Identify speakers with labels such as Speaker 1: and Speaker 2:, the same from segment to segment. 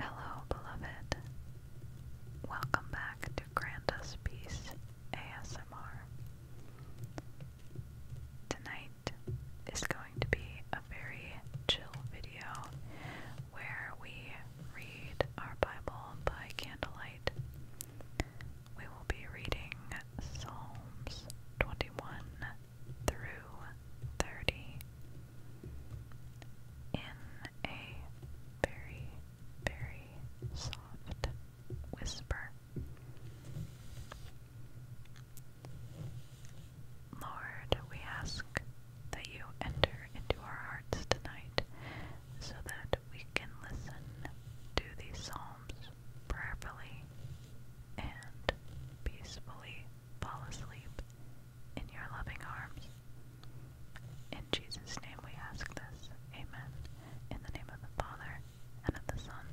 Speaker 1: Hello, beloved. Welcome back to Grant Peace ASMR. Tonight is going to be a very chill video where we read our Bible by candlelight. We will be reading Psalms 21 through 30 in a very, very soft whisper. Lord, we ask that you enter into our hearts tonight so that we can listen to these Psalms prayerfully and peacefully fall asleep in your loving arms. In Jesus' name we ask this. Amen. In the name of the Father, and of the Son,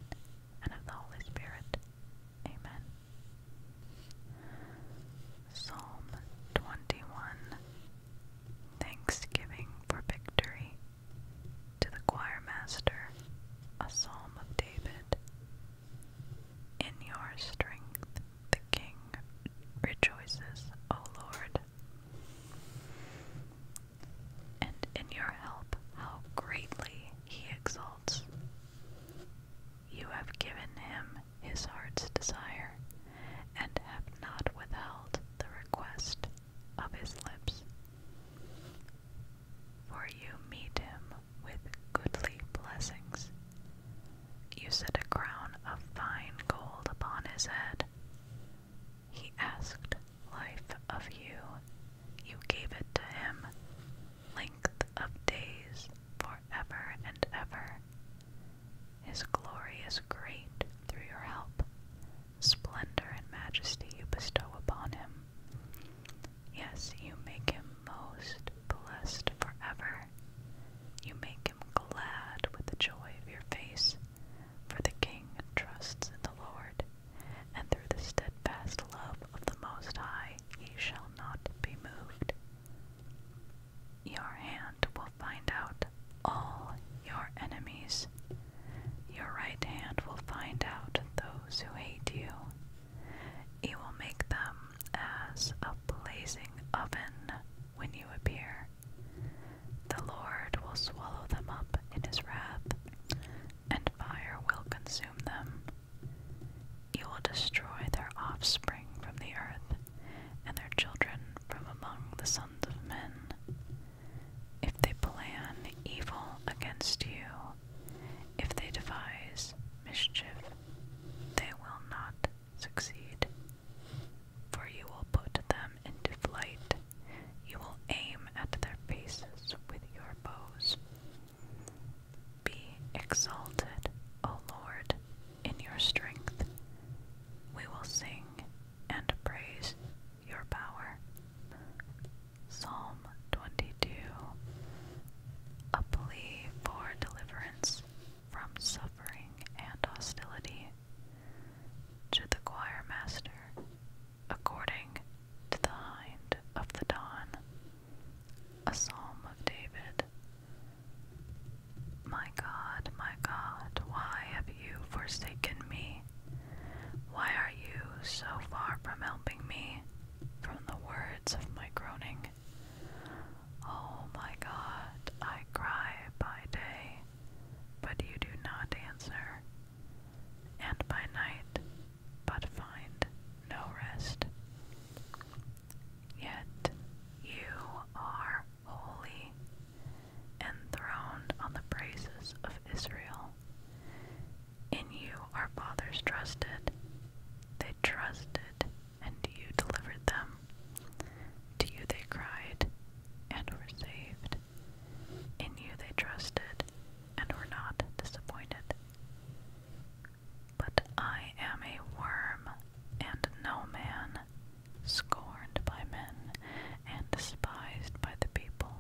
Speaker 1: and of the Holy Spirit. Amen. Psalm 21 Thanksgiving for victory. To the choir master, a psalm of David. In your strength the king rejoices, O Lord. And in your help, how greatly he exults. You have given him his heart's desire, and have not withheld the request of his lips. For you meet him with goodly blessings. You set a crown of fine gold upon his head. He asked life of you. You gave it to him, length of days forever and ever. His glory is great through your help. Splendor and majesty you bestow upon him. Yes, you make him most blessed forever. You make him glad with the joy of your face. For the king trusts in the Lord, and through the steadfast love of the Most High he shall not be moved. Your hand will find out all your enemies. Your right hand will find out those who hate you. He will make them as a blazing oven when you appear. The Lord will swallow them up in his wrath, and fire will consume them. You will destroy their offspring from the earth and their children from among the sons of men. If they plan evil against you, if they devise mischief, they will not succeed. For you will put them into flight, you will aim at their faces with your bows. Be exalted, O Lord, in your strength. We will sing and praise your power. Psalm 22 A plea for deliverance from suffering and hostility. To the choir master, according to the hind of the dawn. A psalm of David. My God, my God, why have you forsaken me? Why are you so far from helping me? From the words of my groaning. Oh my God, I cry by day, but you do not answer, and by night, but find no rest. Yet you are holy, enthroned on the praises of Israel. In you our fathers trusted. They trusted, and you delivered them. To you they cried, and were saved. In you they trusted, and were not disappointed. But I am a worm and no man, scorned by men and despised by the people.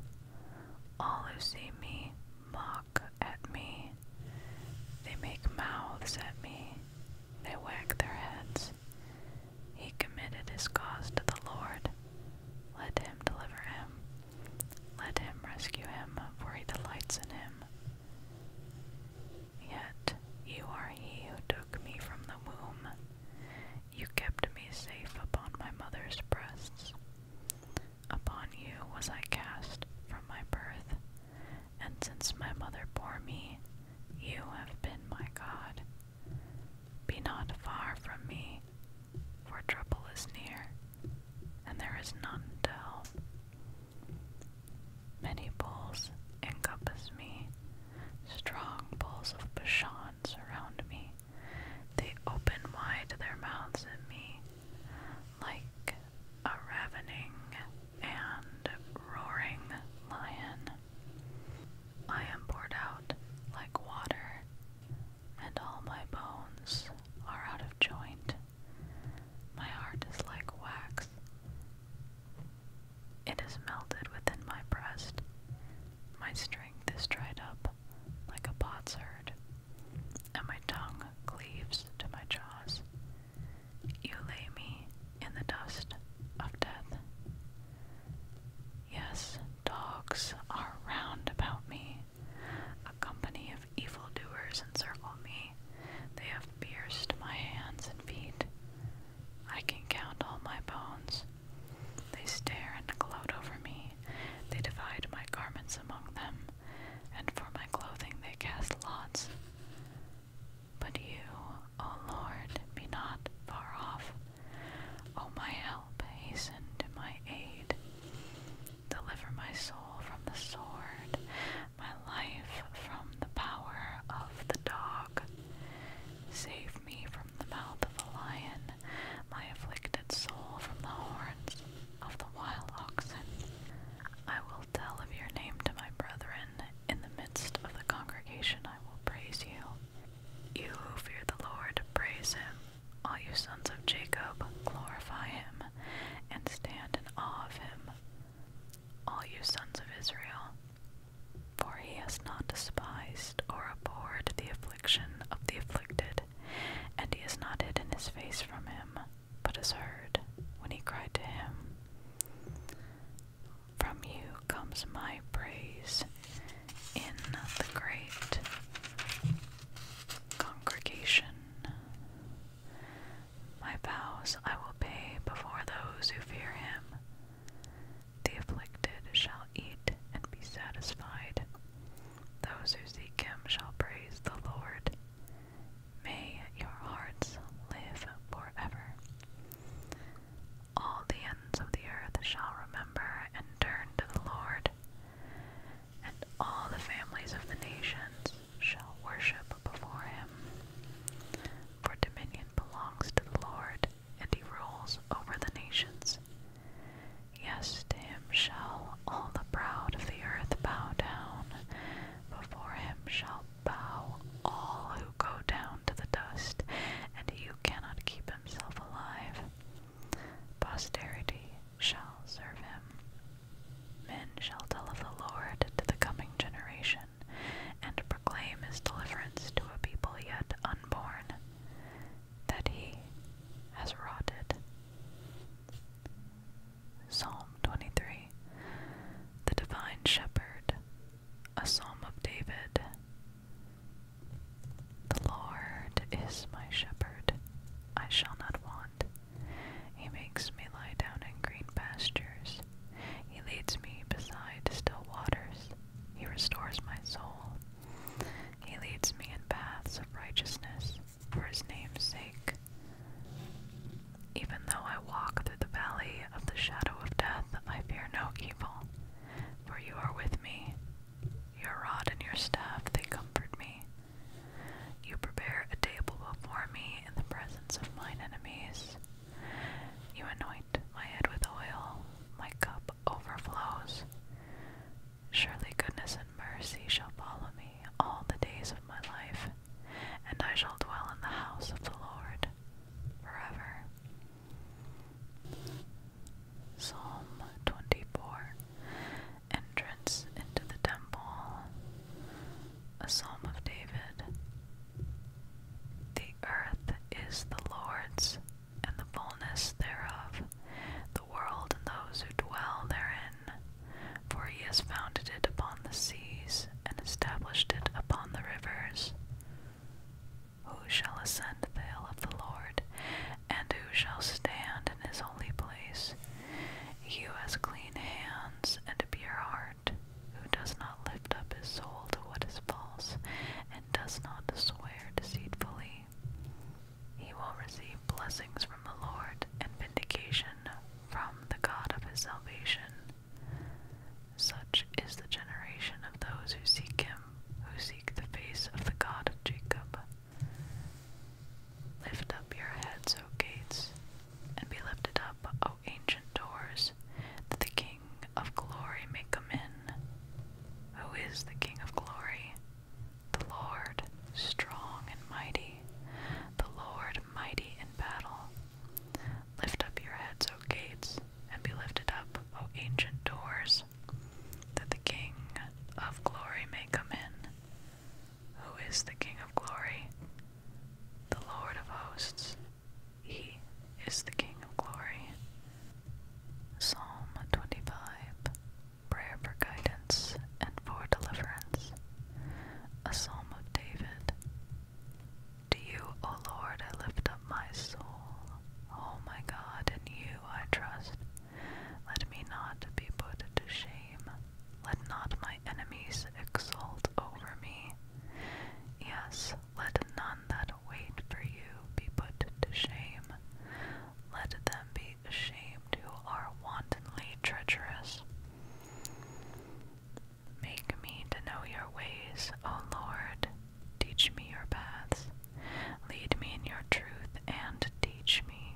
Speaker 1: All who see me mock at me. They make mouths at me. They wag their heads. He committed his cause to the Lord. Let him deliver him. Let him rescue him, for he delights in him. Yet you are he who took me from the womb. You kept me safe upon my mother's breasts. Upon you was I cast from my birth, and since my mother bore me, you have been my God. Be not far from me, for trouble is near, and there is none to help. Many bulls encompass me, strong bulls of Bashan surround me. They open wide their mouths at me, like a ravening and roaring lion. I am poured out like water, and all my bones are out of joint. My heart is like wax. It is melted within my breast. My strength is dried up like a potsherd, and my tongue cleaves to my jaws. You lay me in the dust of death. Yes, dogs are round about me. A company of evil doers encircle me. They have pierced my hands and feet. I can count all my bones. They stare and gloat over me. They divide my garments among them, and for my clothing they cast lots. But you, O Lord, be not far off. O my help, hasten to my aid. Deliver my soul from the sword, my life from the power of the dog. Save me from the mouth of the lion, my afflicted soul from the horns of the wild oxen. I will tell of your name to my brethren. In the midst of the congregation, I will praise you. You who fear the Lord, praise him. All you sons of Jacob, glorify him and stand in awe of him, all you sons of Israel. For he has not despised or abhorred the affliction of the afflicted, and he has not hidden his face from him, but has heard when he cried to him. From you comes my praise in the great congregation. My vows I will pay before those who fear him. The afflicted shall eat and be satisfied. Those who seek him shall praise the Lord. May your hearts live forever. All the ends of the earth shall remember and turn to the Lord, and all the families of the nations shall worship before him. For dominion belongs to the Lord, and he rules over the nations. Yes, to him shall all the proud of the earth bow down, before him shall bow all who go down to the dust, and he who cannot keep himself alive. Posterity shall serve him. Men shall tell of the Lord to the coming generation, and proclaim his deliverance to a people yet unborn, that he has wrought it. Psalm 23 The Divine Shepherd, a Psalm of David. The Lord is my shepherd, I shall not want. He makes me lie down in green pastures. He leads me beside still waters. He restores my soul. He leads me in paths of righteousness for his name's sake. Even though I walk through the valley of the shadow of death, I fear no evil, for you are with me. Your rod and your staff, they comfort me. You prepare a table before me in the presence of mine enemies. You anoint my head with oil, my cup overflows. Surely goodness and mercy shall follow me all the days of my life, and I shall dwell in the house of the Lord forever. Psalm 24 entrance into the temple, a psalm of David. The earth is the Lord's, and the fullness thereof, the world and those who dwell therein. For he has founded it upon the seas, and established it upon the rivers. Who shall ascend the hill of the Lord, and who shall stand in his holy place. You has clean hands and a pure heart, who does not lift up his soul to what is false, and does not swear deceitfully. He will receive blessings from the Lord and vindication from the God of his salvation. Such is the generation of those who seek him, who seek the face of the God of Jacob. Lift up your heads, O gates, and be lifted up, O ancient doors, that the King of glory may come in. Who is the King of glory? The Lord, strong and mighty, the Lord mighty in battle. Lift up your heads, O gates, and be lifted up, O ancient doors, that the King of glory may come in. Who is the King of glory? The Lord of hosts. He is the King of glory. Psalm 25 Prayer for guidance and for deliverance. A psalm of David. To you, O Lord, I lift up my soul. O my God, in you I trust. Let me not be put to shame. Let not my enemies exult over me. Yes, let none that wait for you be put to shame. Let them be ashamed who are wantonly treacherous. Make me to know your ways, O Lord. Teach me your paths. Lead me in your truth and teach me.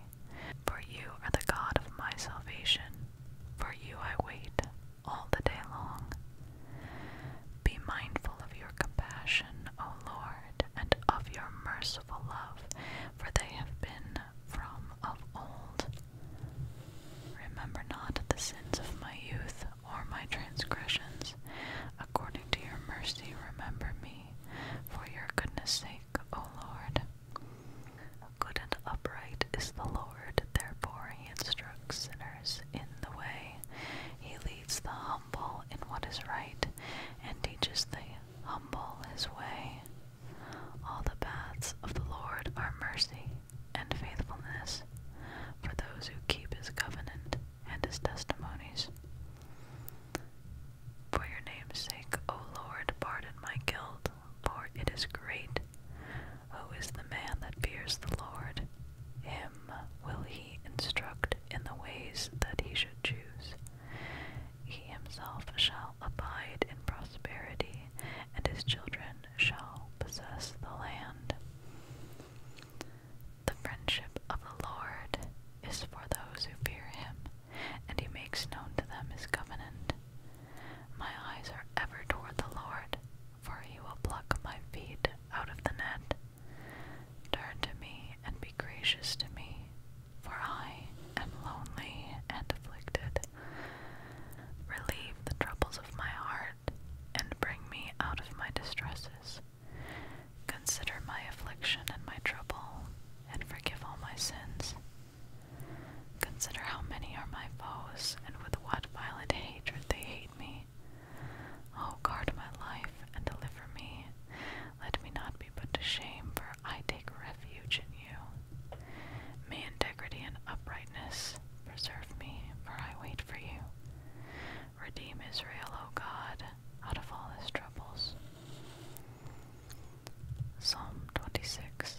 Speaker 1: For you are the God of my salvation. For you I wait all the day long. Be mindful of your compassion, O Lord, and of your merciful love, for they have been from of old. Remember not the sins of my youth or my transgressions. According to your mercy, remember me, for your goodness' sake, O Lord. Good and upright is the Lord, therefore he instructs sinners in the way. He leads the humble in what is right, and teaches the humble his way. All the paths of the Lord are mercy and faithfulness for those who keep his covenant and his testimonies. For your name's sake, O Lord, pardon my guilt, for it is great. Who is the man that fears the Lord? Him will he instruct in the ways that he should choose. He himself shall abide in prosperity, and his children shall possess the land. The friendship of the Lord is for those who fear him, and he makes known to them his covenant. My eyes are ever toward the Lord, for he will pluck my feet out of the net. Turn to me and be gracious to me, for I am lonely and afflicted. Relieve the troubles of my heart, and bring me out of my distresses. Consider my affliction and my trouble, and forgive all my sins. Consider how many are my foes, and with what violent hatred they hate me. Oh, guard my life and deliver me. Let me not be put to shame, for I take refuge in you. May integrity and uprightness preserve me, for I wait for you. Redeem Israel, O God, out of all his troubles. Psalm 26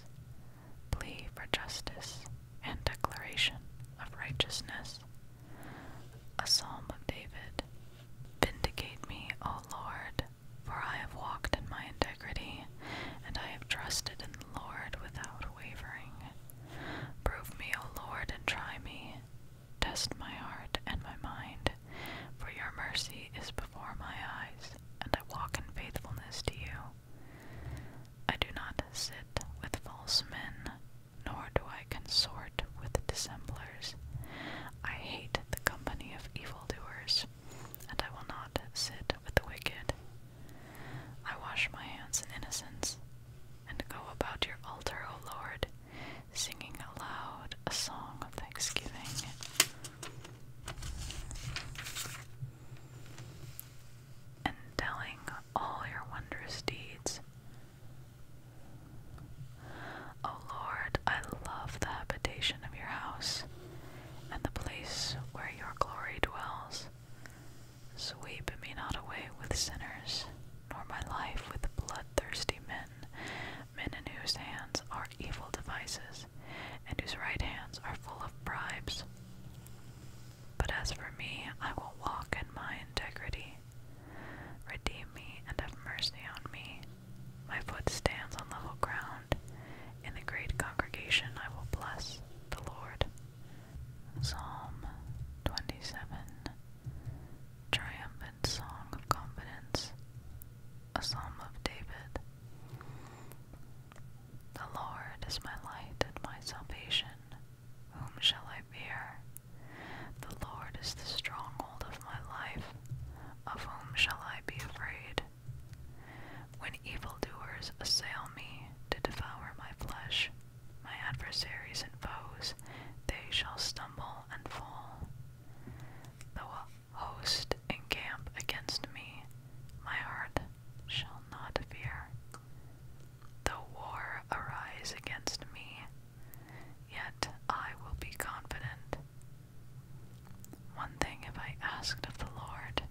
Speaker 1: Plea for justice and declaration of righteousness. A psalm of David. Vindicate me, O Lord, for I have walked in my integrity, and I have trusted in the Lord without wavering. Prove me, O Lord, and try me, Test my heart and my mind, for your mercy is before my eyes, and I walk in faithfulness to you. I do not sit with false men, nor do I consort with dissemblers. I hate the company of evil doers, and I will not sit with the wicked. I wash my hands in innocence and go about your altar, O Lord, singing aloud a song of thanksgiving. And telling all your wondrous deeds. O Lord, I love the habitation of your house and the place where your glory dwells. Sweep me not away with sinners, nor my life with bloodthirsty men, men in whose hands are evil devices, and whose right hands are full of bribes. But as for me, I will walk in my integrity. Redeem me and have mercy on me. My foot stands on level ground. In the great congregation, I will bless the Lord. Psalm 27 triumphant song of confidence, a psalm of David. The Lord is my light and my salvation. Whom shall I fear? The Lord is the stronghold of my life. Of whom shall I be afraid? When evildoers assail me to devour my flesh, my adversaries and foes, they shall stumble and fall. Though a host encamp against me, my heart shall not fear. Though war arise against me, yet I will be confident. One thing have I asked of the Lord,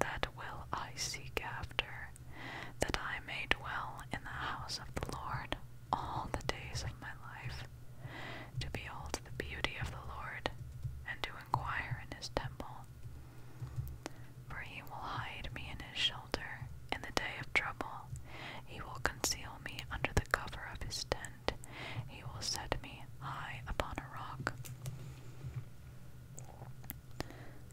Speaker 1: that will I seek after, that I may dwell in the house of the Lord all the days of my life, to behold the beauty of the Lord, and to inquire in his temple. For he will hide me in his shelter in the day of trouble. He will conceal me under the cover of his tent. He will set me high upon a rock.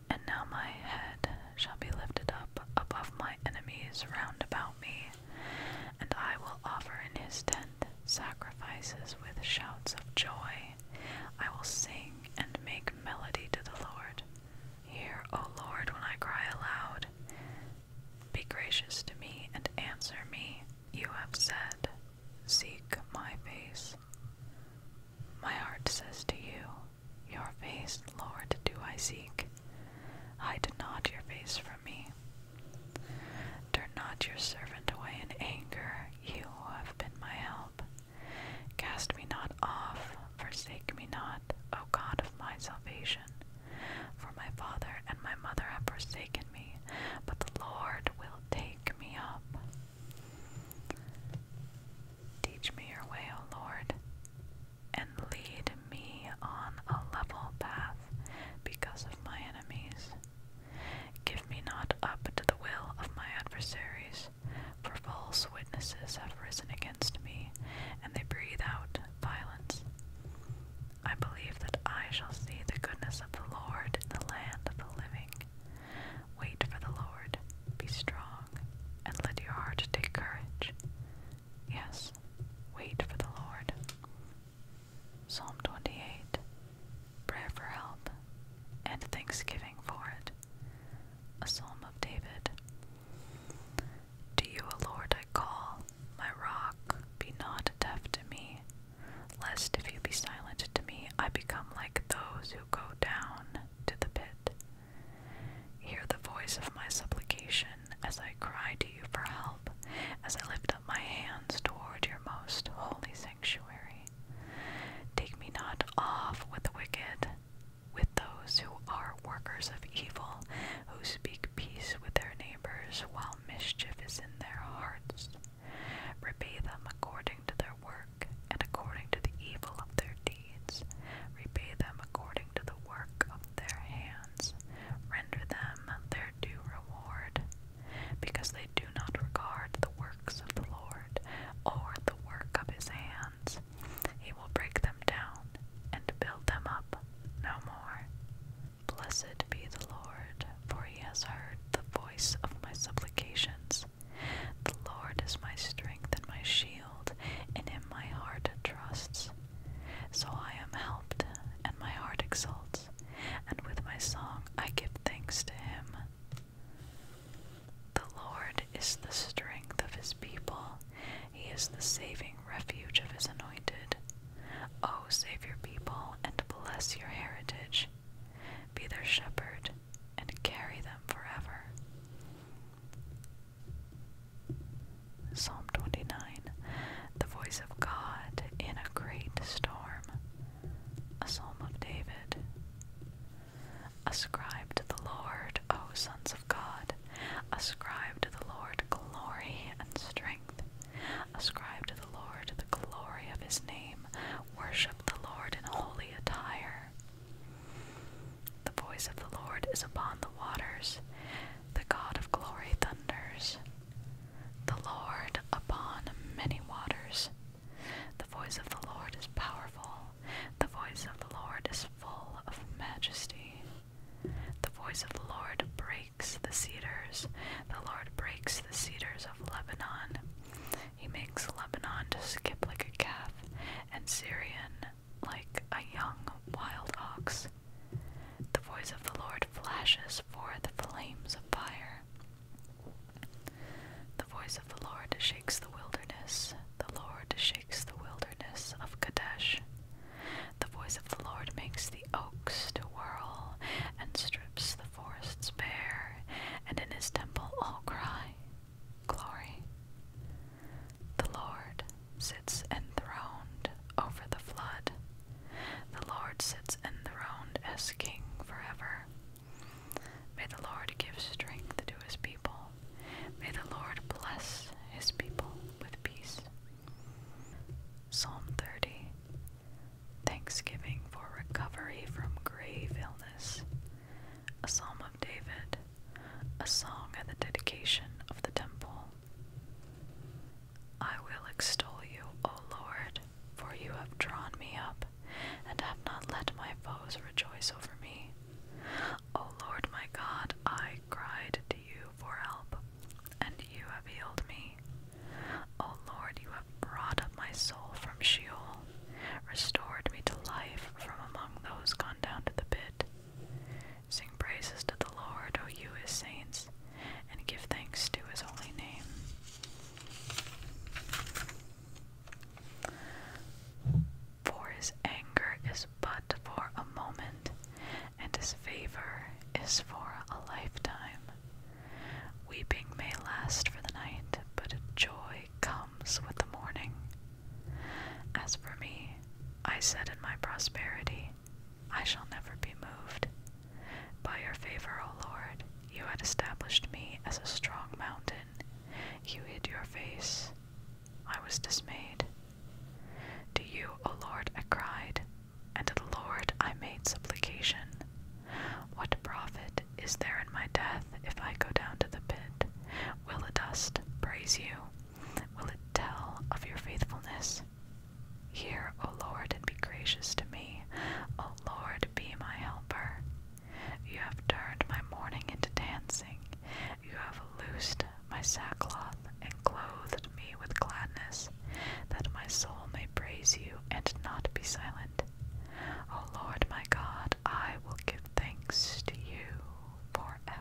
Speaker 1: And now my head shall be lifted up above my enemies round about me, and I will offer in his tent sacrifices with shouts of joy. I will sing and make melody to the Lord. Hear, O Lord, when I cry aloud. Be gracious to me and answer me. You have said, Seek my face. My heart says to you, your face, Lord, do I seek. Hide not your face from me. Turn not your servant away in anger, you who have been my help. Cast me not off, forsake me not, O God of my salvation. For my father and my mother have forsaken me, but the Lord will take me up. Teach me your way, O Lord, and lead me on a level path because of my enemies. Give me not up to the will of my adversaries, for false witnesses have risen against me, and they breathe out violence. I believe that I shall see the goodness of the Lord in the land of the living. Wait for the Lord, be strong, and let your heart take courage. Yes, wait for the Lord. Psalm 28 Prayer for help and thanksgiving for it. A psalm of David. To you, O Lord, I call, my rock, be not deaf to me, lest if you be silent to me, I become like those who go down to the pit. Hear the voice of my supplication as I cry to you for help, as I lift up my hands toward your most holy sanctuary. Take me not off with the wicked, with those who are workers of evil, who speak peace with their neighbors while mischief is in their hearts. Repay them according to their work, and according to the evil of their deeds. Repay them according to the work of their hands. Render them their due reward, because they do not regard the works of the Lord, or the work of his hands. He will break them down, and build them up no more. Blessed be the Lord, for he has heard the voice of my supplications. The Lord is my strength and my shield, and in my heart trusts. So I am helped, and my heart exults, and with my song I give thanks to him. The Lord is the strength of his people, he is the saving refuge of his anointed. O save your people and bless your heritage be their shepherd, and carry them forever. Psalm 29 The voice of God in a great storm. A psalm of David. Ascribe to the Lord, O sons of God. Ascribe to the Lord glory and strength. Ascribe to the Lord the glory of his name. Worship the Lord in holy attire. The voice of the Lord is upon the waters, the God of glory thunders. The Lord upon many waters. The voice of the Lord is powerful, the voice of the Lord is full of majesty. The voice of the Lord breaks the cedars, the Lord breaks the cedars of Lebanon. He makes Lebanon to skip like a calf, and Syrian like a young wild ox. The voice of the Lord flashes forth flames of fire. The voice of the Lord shakes the wilderness. The Lord shakes the wilderness of Kadesh. The voice of the Lord makes the oaks to whirl and strips the forests bare, and in his temple all cry, glory. The Lord sits enthroned over the flood. The Lord sits enthroned as King forever. May the Lord give strength to his people. May the Lord bless his people with peace. Psalm 30 Thanksgiving for recovery from grave illness a psalm of David, a song at the dedication of the temple. I will extol you, O Lord, for you have drawn me up, and have not let my foes rejoice over me. O Lord my God, I cried to you for help, and you have healed me. O Lord, you have brought up my soul from Sheol, restored me to life from among those gone down to the pit. Sing praises to the Lord, O you his saints, and give thanks to his holy name. For his anger is but for a moment, and his favor is for a lifetime. Weeping may last for the night, but joy comes with the morning. As for me, I said in my prosperity, I shall never be moved. By your favor, O Lord, you had established me as a strong mountain. You hid your face. I was dismayed. To you, O Lord, I cried, and to the Lord I made supplication. What profit is there in my death if I go down to the pit? Will the dust praise you? Will it tell of your faithfulness? Hear, O Lord, and be gracious to me. O Lord, be my helper. You have turned my mourning into dancing. You have loosed my sackcloth and clothed me with gladness, that my soul may praise you and not be silent. O oh Lord my God, I will give thanks to you forever.